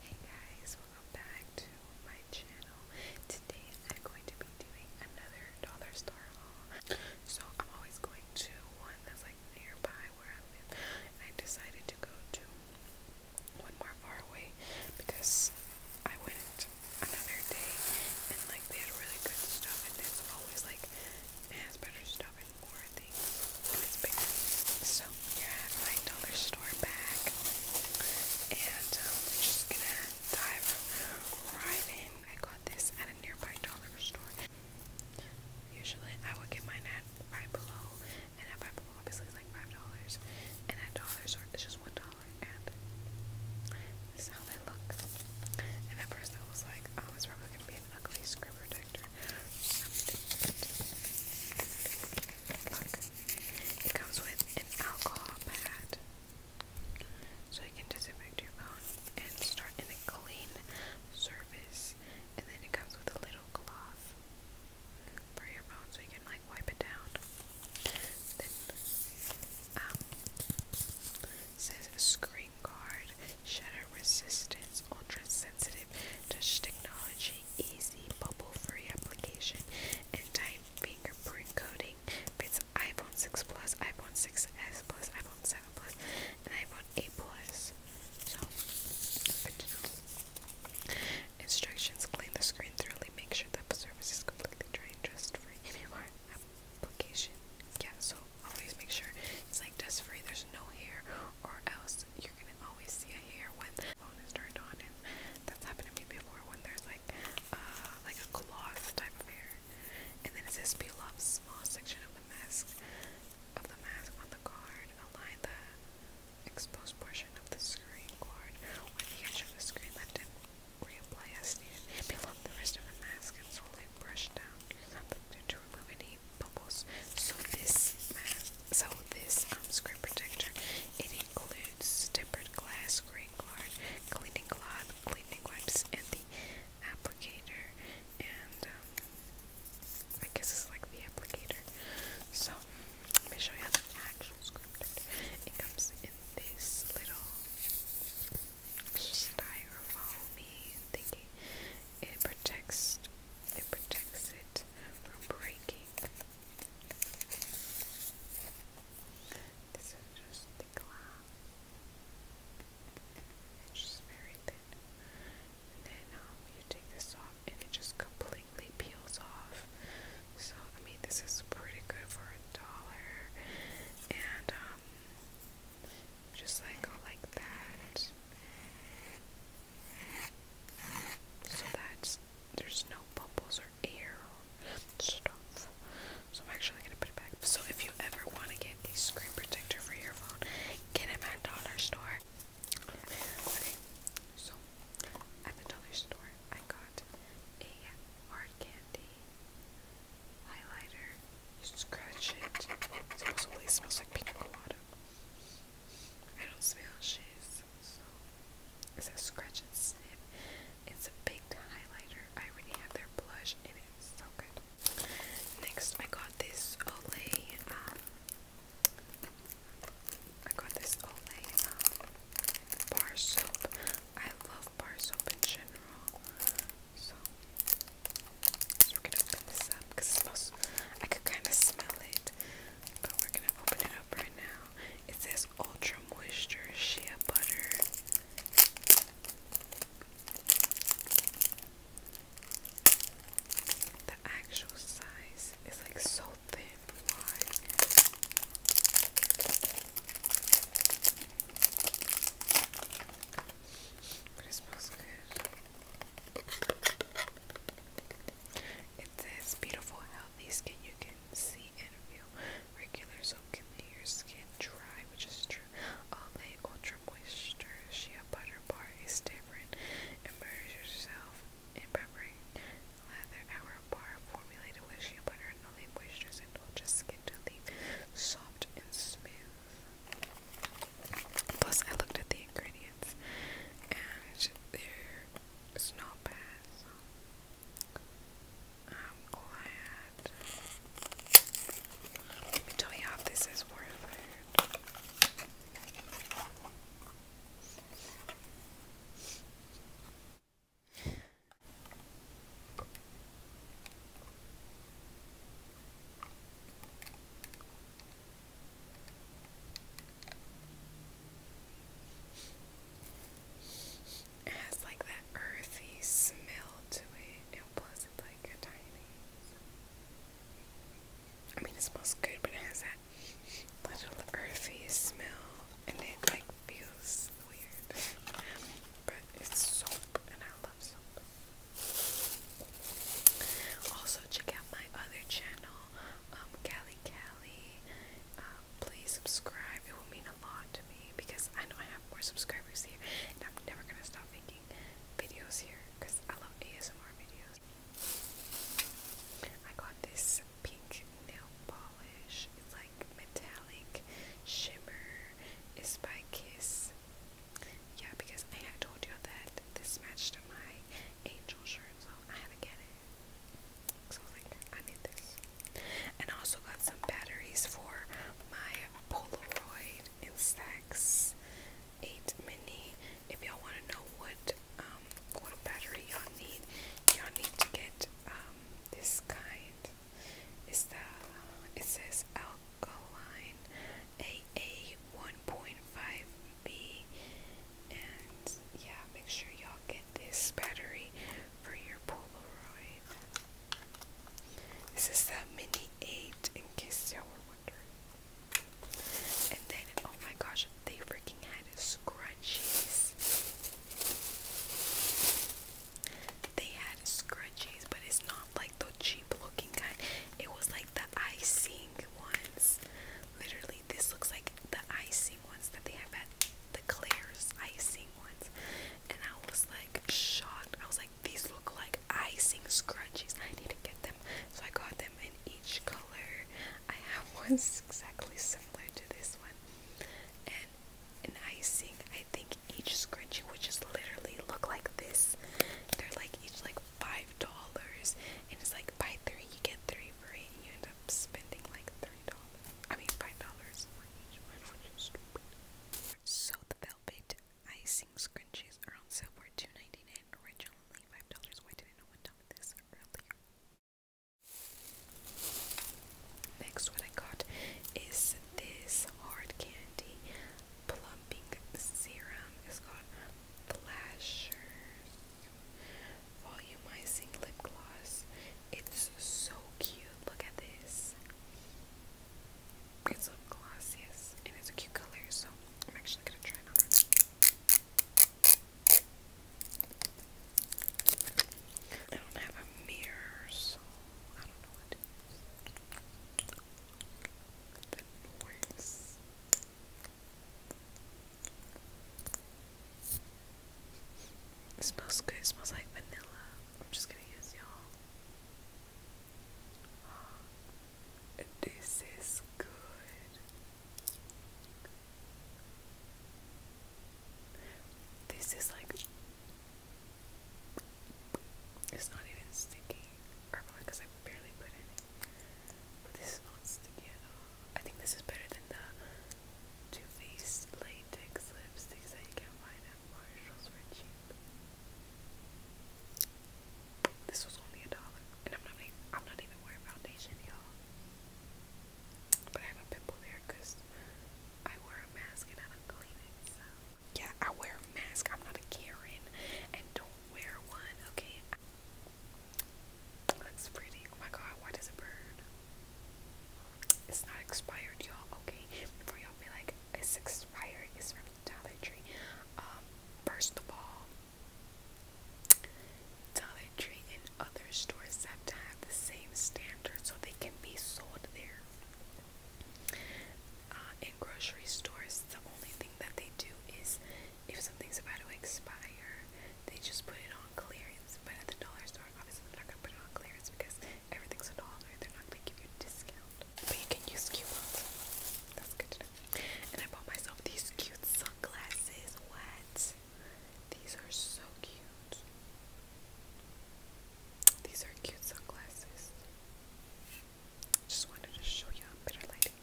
Hey guys, welcome back to my channel. Today I'm going to be doing another dollar store haul. So I'm always going to one that's like nearby where I live. I decided to go to one more far away because I went another day and like they had really good stuff and it's always like has better stuff and more things it's bigger. So here I have my dollar store bag, and um, I'm just gonna dive right in. I got this at a nearby dollar store. Usually, I would get mine at Five Below, and at Five Below, obviously, it's like five dollars, and at Dollar Store, it's just one dollar. And this is how they look. And at first, I was like, oh, it's probably gonna be an ugly screen protector, it comes with an alcohol pad, so you can disinfect your phone and start in a clean surface. And then it comes with a little cloth for your phone, so you can like wipe it down. Then, um, it says screen guard, shatter resistance, ultra sensitive touch technology easy, bubble-free application, and time fingerprint coding fits iPhone 6 Plus, iPhone 6s Plus, iPhone 7 Plus, and iPhone 8 Plus. So, Instructions: Clean the screen thoroughly. Make sure that the surface is completely dry and dust-free. Or application. Yeah. So always make sure it's like dust-free. There's no hair, or else I'm gonna always see a hair when the phone is turned on, and that's happened to me before when there's like uh, like a gloss type of hair, and then it says peel off small section of the mask of the mask on the card, align the exposed portion of the screen cord. with the edge of the screen left and reapply as needed. Peel off the rest of the mask and slowly brush down to remove any bubbles. So this mask so this um, screen protector, it includes tempered glass, green guard, cleaning cloth, cleaning wipes, and the applicator. And um, I guess it's like the applicator. So let me show you how the actual screen protector. It comes in this little styrofoamy thingy. It protects. It protects it from breaking. This is just the glass. It's just very thin. And then um, you take this off and it just completely peels off. So, I mean, this is pretty good for a dollar. And, um, just like like that. So that's there's no bubbles or air or stuff. So I'm actually gonna put it back. So if you ever want to get a screen protector for your phone, get it at Dollar Store. Okay, so at the Dollar Store, I got a hard candy highlighter. scratch it. Supposedly it smells like pina colada. I don't smell shiz, it's a scratch and snip. It's a baked highlighter. I already have their blush It's so good. Next, I got this Olay. Um, I got this Olay um, bar soap. I love bar soap in general. So, we're gonna open this up because I could kind of smell it, but we're gonna open it up right now. It says Ultra Moisture Shea Butter. The actual size is like so thin. Why? But it smells good. It says beautiful least can you can see and feel regular soap can leave your skin dry, which is true. Olay Ultra Moisture Shea Butter Bar is different. Immerse yourself in peppery lather hour bar formulated with shea butter and Olay moistures and just Skin to leave soft and smooth. Plus, I looked at the ingredients and there it's not bad, I'm glad. Let me tell you how this is worth has like that earthy smell to it, and it's like a tiny. I mean, it smells good, but it has that little earthy smell, and it like feels weird. but it's soap, and I love soap. Also, check out my other channel, um, Callie Cal um, please subscribe. It will mean a lot to me because I know I have more subscribers here, and I'm never gonna stop making videos here because I love ASMR videos. I got this pink nail polish. It's like metallic shimmer. It's by Kiss. Yeah, because I had told you that this matched my angel shirt, so I had to get it. So I was like, I need this. And I also got some batteries for my Polaroid Instax 8 Mini. If y'all want to know what um, what battery y'all need, y'all need to get um, this kind. It's the it says alkaline AA 1.5 B and yeah, make sure y'all get this battery for your Polaroid. This is the Mini 8, in case y'all were wondering. And then, oh my gosh, they freaking had scrunchies. They had scrunchies, but it's not like the cheap looking kind. It was like the icing ones. Literally this looks like the icing ones that they have at the Claire's icing ones. And I was like shocked. I was like, these look like icing scrunchies. I need to get them. So I got them in each color. I have ones exactly similar to this one. And an icing, I think each scrunchie which is literally look like this. They're like each like five dollars and it's like buy three, you get three for it, and you end up spending like I mean five dollars So the velvet icing scrunchies are on sale for $2.99 originally five dollars. Why didn't no one tell me this earlier? Next what I got is this hard candy plumping serum. It's called Flashers volumizing lip gloss. It's so cute. Look at this. It's lip gloss, yes, and it's a cute color, so I'm actually gonna try it on. I don't have a mirror, so I don't know what to it smells good. smells like vanilla. I'm just gonna use y'all. This is good. This is like it's not even sticky. Or because I barely put it. this is not sticky at all. I think this is better than the to these latex lipsticks that can find at Marshalls for cheap. This was only a dollar, and I'm not even, wearing foundation, y'all. But I have a pimple there because I wear a mask and I don't clean it. yeah, I wear a mask. I'm not a Karen, and don't wear one. Okay. Looks pretty. Oh my god, why does it burn? It's not expired, y'all. Okay, before y'all be like, it's expired. It's from Dollar Tree. Um, first of all, Dollar Tree and other stores have to have the same standard so they can be sold there. Uh, in grocery stores, the only thing that they do is if something's about to expire, they just put it on clearance. But at the dollar store, are obviously not gonna put it on clearance because everything's a dollar. They're not gonna give you a discount, but you can use coupons. That's good to know. And I bought myself these cute sunglasses. What? These are so cute. These are cute sunglasses. Just wanted to show you better lighting.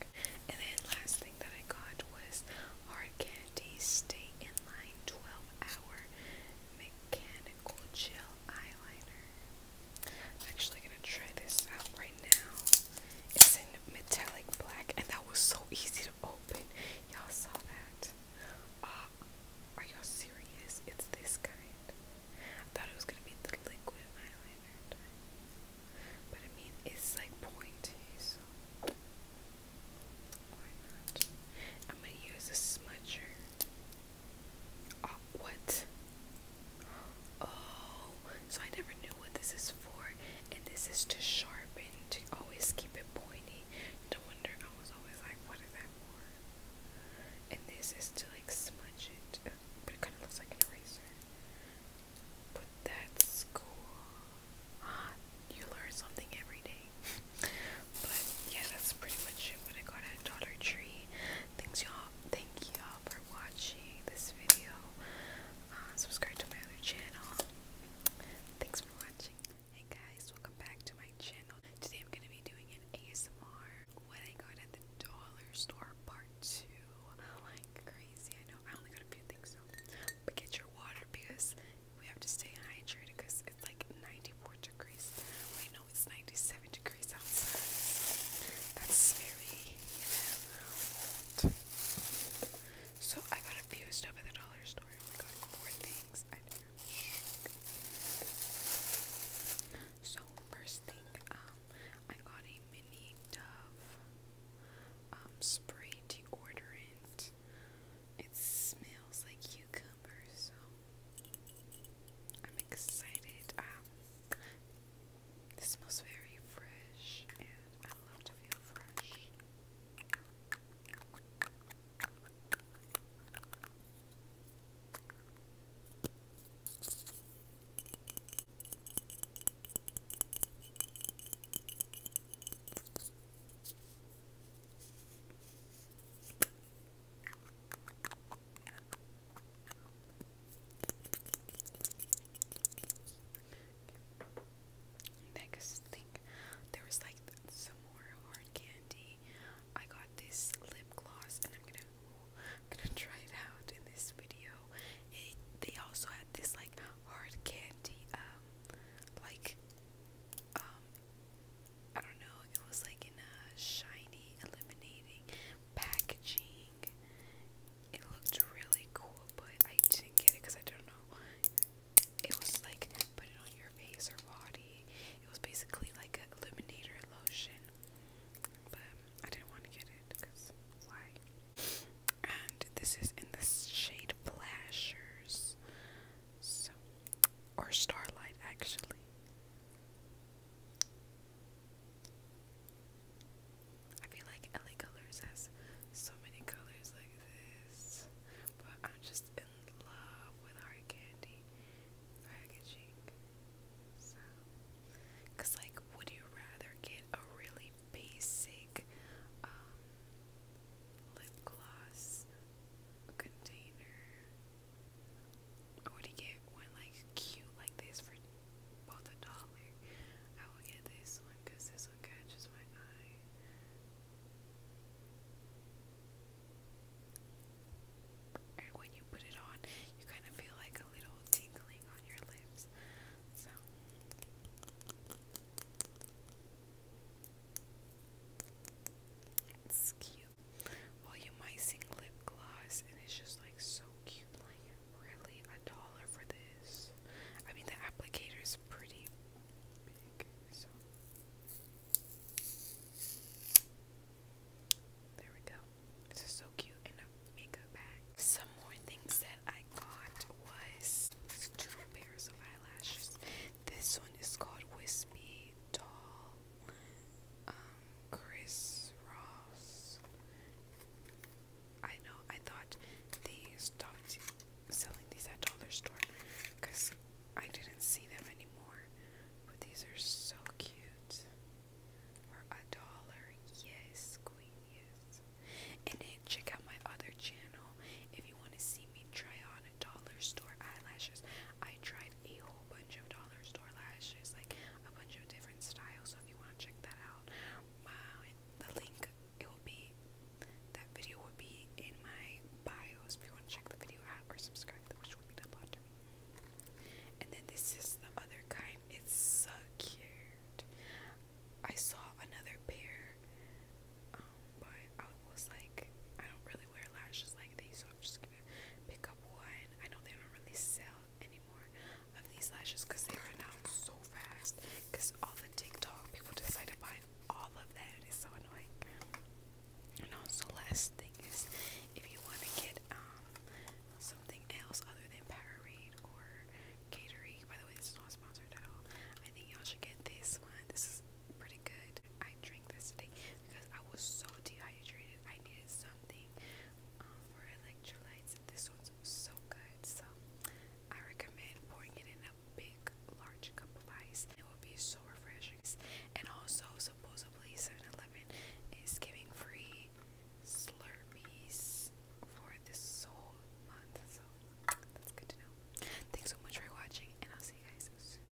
And then last thing that I got was hard Sandy State Inline 12 Hour Mechanical Gel Eyeliner. I'm actually gonna try this out right now. It's in metallic black, and that was so easy to open. Y'all saw that. Uh, are y'all serious? It's this kind. thought it was gonna be the liquid eyeliner, but I mean, it's like pointy, I'm gonna use a smudger. Oh, what? Oh, so I never knew what this is for. And this is to sharpen, to always keep it pointy. No wonder I was always like, what is that for? And this is to like smudge it. But it kind of looks like an eraser. But that's cool. you learn something every day. but yeah, that's pretty much it when I got at Dollar Tree. Thanks y'all thank y'all for watching this video. Uh, subscribe to my other channel. Thanks for watching. Hey guys, welcome back to my channel. Today I'm gonna be doing an ASMR when I go to the dollar store part two. Like crazy. I know I only got a few things so but get your water because we have to stay hydrated because it's like 94 degrees. Wait, no, it's 97 degrees outside. That's very, So I got a few stuff at the dollar store. We got four things. So first thing, um, I got a mini Dove um, spray deodorant. It smells like cucumber, so I'm excited. Um, this smells very fresh, and I love to feel fresh there was like some more hard candy. I got this lip gloss, and I'm gonna, gonna try it out in this video. they also had this like hard candy, um, like um I don't know, it was like in a shiny, illuminating packaging. It looked really cool, but I didn't get it because I don't know. It was like put it on your face or body. It was basically like an illuminator lotion, but I didn't want to get it because why? And this is in the shade Flashers. So, or Starlight actually. I feel like LA Colors has so many colors like this, but I'm just in love with hard candy packaging. So, cause like, would you rather get a really basic um, lip gloss container. I would get one like cute like this for both a dollar. I will get this one because this one catches my eye. And when you put it on, you kind of feel like a little tingling on your lips. So. It's cute. Well, you might sing lip gloss, and it's just like so cute. Like, really? A dollar for this? I mean, the applicator's pretty big, so. There we go. This is so cute in a makeup bag. Some more things that I got was two pairs of eyelashes. This one is called Wispy really um Chris Ross. I know I thought they stopped selling these at Dollar Store because I didn't see them anymore. But these are so cute. For a dollar, yes, Queen, yes. And then check out my other channel if you want to see me try on dollar store eyelashes. I tried a whole bunch of dollar store lashes, like a bunch of different styles. So if you want to check that out, the link it will be that video will be in my bio. if you want to check the video out or subscribe, which will be the bottom. And then this is the other kind. It's so cute. I saw another pair. Um, but I was like, I don't really wear lashes like these, so I'm just gonna pick up one. I know they don't really sell anymore of these lashes because they run out so fast. Because all the TikTok people decide to buy all of that, it's so annoying. And also, last thing is if you want to get um something else other than Powerade or Gatorade. By the way, this is not sponsored at all. I think y'all should get this one. This is pretty good. I drink this today because I was so dehydrated. I needed something um, for electrolytes. This one's so good. So I recommend pouring it in a big, large cup of ice. It will be so refreshing. And also, supposedly, 7 is giving free Slurpees for this whole month. So good to know. Thanks so much for watching, and I'll see you guys soon.